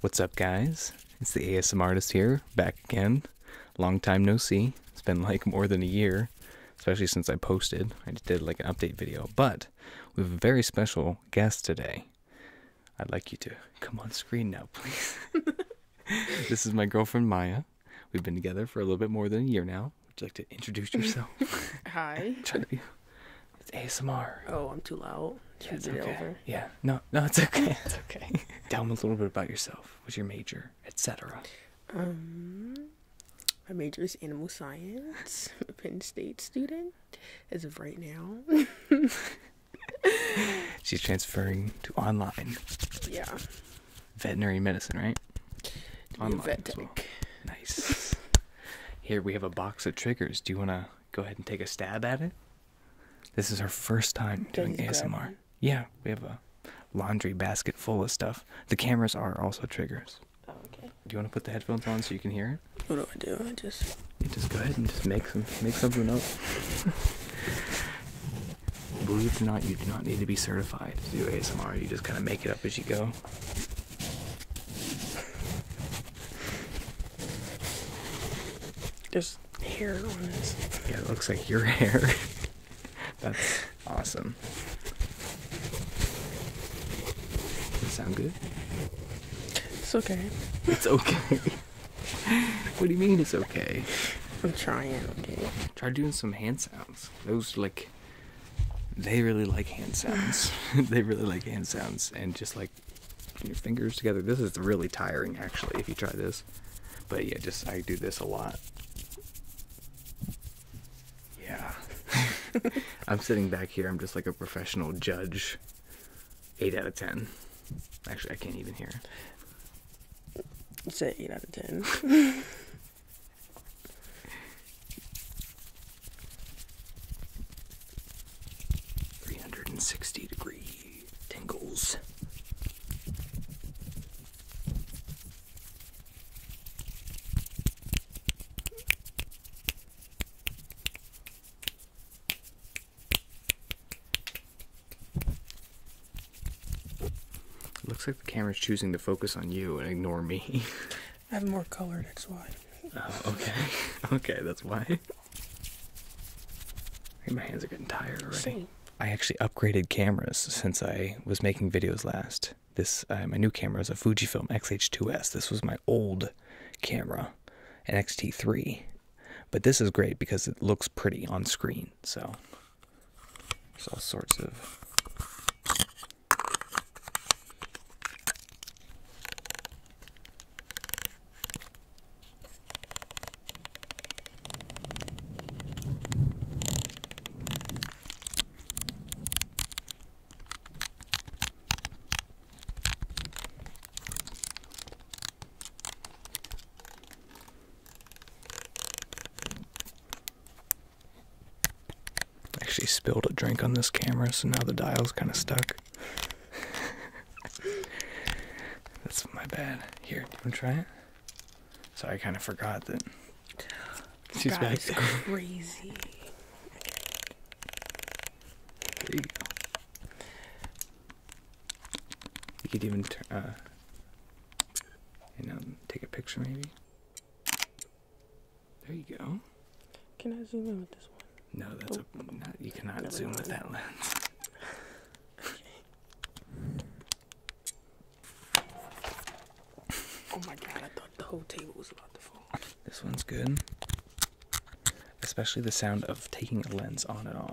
What's up, guys? It's the ASM artist here, back again. Long time no see. It's been like more than a year, especially since I posted. I did like an update video, but we have a very special guest today. I'd like you to come on screen now, please. this is my girlfriend Maya. We've been together for a little bit more than a year now. Would you like to introduce yourself? Hi. Try it's ASMR. Oh, I'm too loud. Yeah, no, no, it's okay. it's okay. Tell me a little bit about yourself. What's your major, etc. Um, my major is animal science. Penn State student, as of right now. She's transferring to online. Yeah. Veterinary medicine, right? Online. Vet tech. Nice. Here we have a box of triggers. Do you want to go ahead and take a stab at it? This is her first time doing ASMR. Yeah, we have a laundry basket full of stuff. The cameras are also triggers. Oh, okay. Do you want to put the headphones on so you can hear it? What do I do? I just. You just go ahead and just make some make something up. Believe it or not, you do not need to be certified to do ASMR. You just kind of make it up as you go. There's hair on this. Yeah, it looks like your hair. That's awesome. sound good? It's okay. It's okay. what do you mean it's okay? I'm trying, okay. Try doing some hand sounds. Those like they really like hand sounds. they really like hand sounds and just like your fingers together. This is really tiring, actually, if you try this. But yeah, just I do this a lot. Yeah. I'm sitting back here. I'm just like a professional judge. 8 out of 10. Actually, I can't even hear. It's an 8 out of 10. 360 degree tingles. looks like the camera's choosing to focus on you and ignore me. I have more color, that's why. Oh, okay. okay, that's why. My hands are getting tired already. I actually upgraded cameras since I was making videos last. This uh, my new camera is a Fujifilm X-H2S. This was my old camera, an X-T3, but this is great because it looks pretty on screen. So there's all sorts of. Actually spilled a drink on this camera, so now the dial's kind of stuck. That's my bad. Here, do you want to try it? So I kind of forgot that she's back there. crazy. you could even uh, and take a picture maybe. There you go. Can I zoom in with this one? No, that's a. you cannot zoom with that lens. Oh my god, I thought the whole table was about to fall. This one's good. Especially the sound of taking a lens on and off.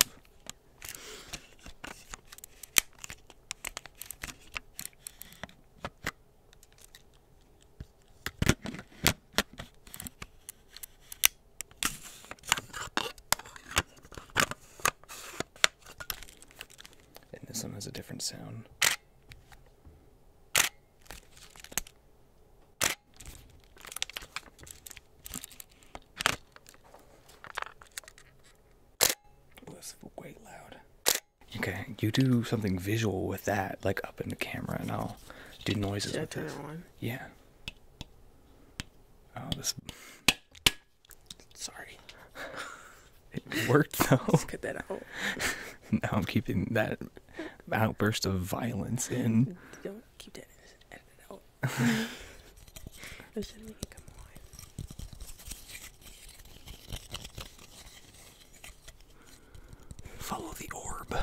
And this one has a different sound. Ooh, way loud. Okay, you do something visual with that, like up in the camera, and I'll do noises with It Yeah. Oh, this. Sorry. it worked though. Let's that now I'm keeping that outburst of violence in. Don't keep that. Edit it out. Listen, we can come on follow the orb.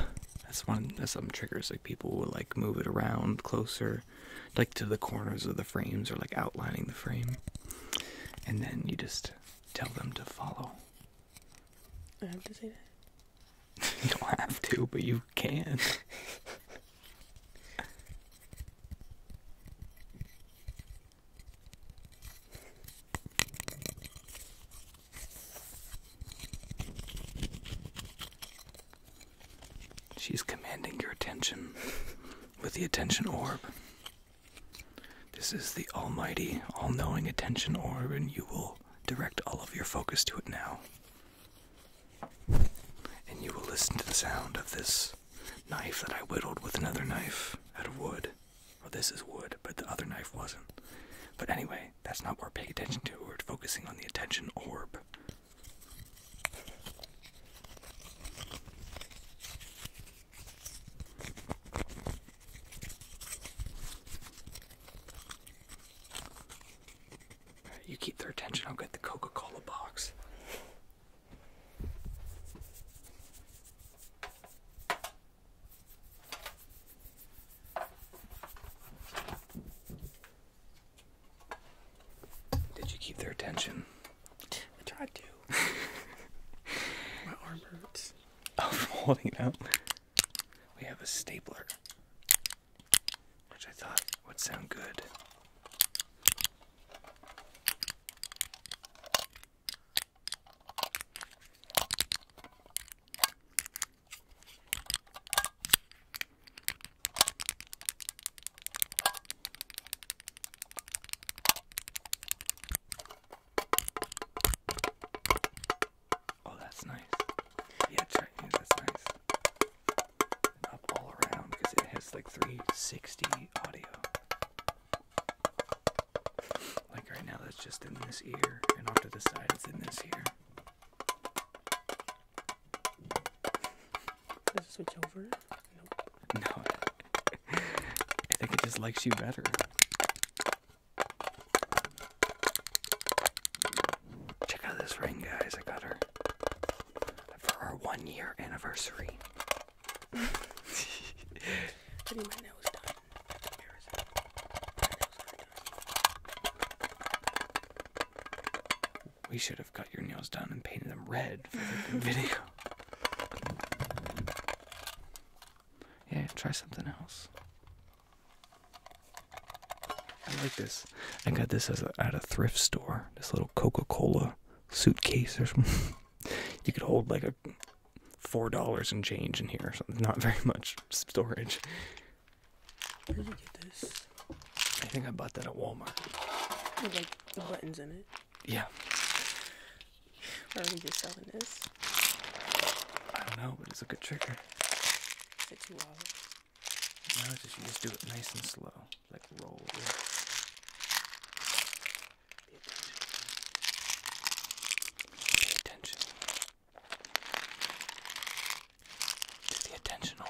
That's one. That's some triggers. Like people will like move it around closer, like to the corners of the frames or like outlining the frame, and then you just tell them to follow. I have to say that. you don't have to, but you can. She's commanding your attention with the attention orb. This is the almighty, all knowing attention orb, and you will direct all of your focus to it now. And you will listen to the sound of this knife that I whittled with another knife out of wood. Well, this is wood, but the other knife wasn't. But anyway, that's not what we're paying attention to. We're focusing on the attention orb. You keep their attention, I'll get the Coca Cola box. Did you keep their attention? I tried to. My arm hurts. Oh, from holding it out. We have a stapler, which I thought would sound good. Oh, that's nice. Yeah, Chinese, that's nice. up all around because it has like 360 audio. Like right now, that's just in this ear, and off to the side, it's in this ear. Does it switch over? Nope. No. I think it just likes you better. Check out this ring, guys. I got her for our one year anniversary. Putting my nose done. My we should have cut your nails down and painted them red for the video. Yeah, try something else. I like this. I got this at a thrift store. This little Coca-Cola suitcase or something. you could hold like a four dollars in change in here or something. Not very much storage. Where did you get this? I think I bought that at Walmart. With like the buttons in it. Yeah. Or are we just selling this? I don't know, but it's a good trigger. Is it two dollars? No, just do it nice and slow, like roll. Pay attention. Pay attention to the attention orb.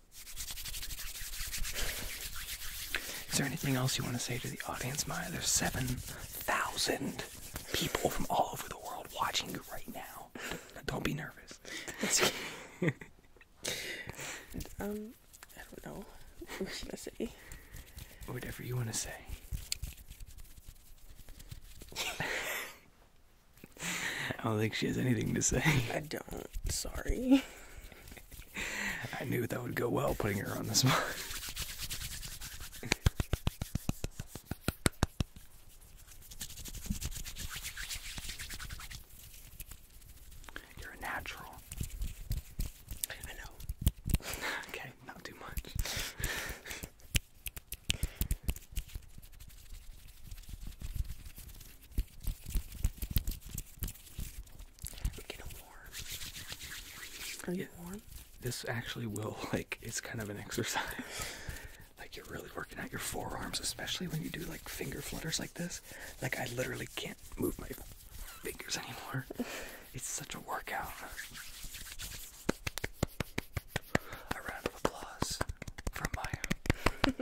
Is there anything else you want to say to the audience, Maya? There's 7,000 people from all over the world watching you right now. Don't be nervous. um, I don't know. What should I say? Whatever you want to say. I don't think she has anything to say. I don't. Sorry. I knew that would go well putting her on the spot. You're a natural. I know. okay, not too much. Are you warm? This actually will, like, it's kind of an exercise. like, you're really working out your forearms, especially when you do, like, finger flutters like this. Like, I literally can't move my fingers anymore. it's such a workout. A round of applause from Maya.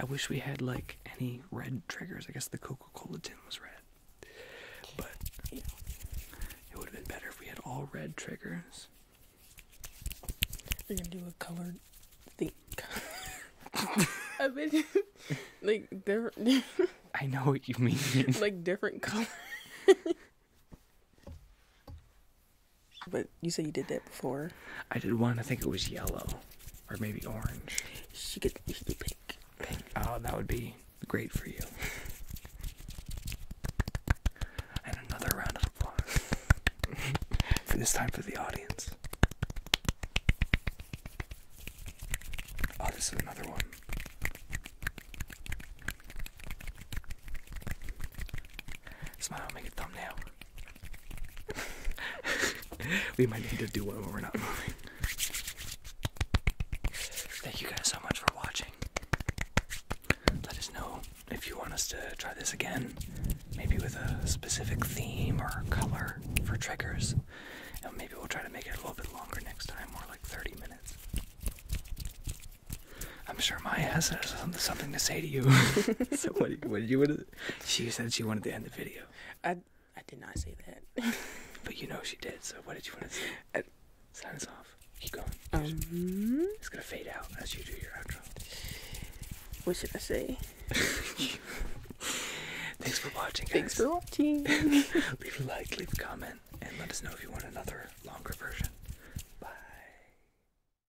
I wish we had like any red triggers. I guess the Coca-Cola tin was red, but you it would have been better if we had all red triggers. We're gonna do a colored thing. I mean, like different. I know what you mean. like different colors. But you said you did that before. I did one. I think it was yellow, or maybe orange. She could, pink. Oh, that would be great for you. And another round of applause. for this time for the audience. Oh, this is another one. Smile, make a thumbnail we might need to do one when we're not moving. Thank you guys so much for watching. Let us know if you want us to try this again, maybe with a specific theme or color for triggers. And maybe we'll try to make it a little bit longer next time, more like 30 minutes. I'm sure Maya has something to say to you. so what, did you? What she said she wanted to end the video. I I did not say that. but you know she did. So what did you want to say? Uh, Sign us off. Keep going. Um, it's gonna fade out as you do your outro. What should I say? Thanks for watching, guys. Thanks for watching. leave a like, leave a comment, and let us know if you want another longer version.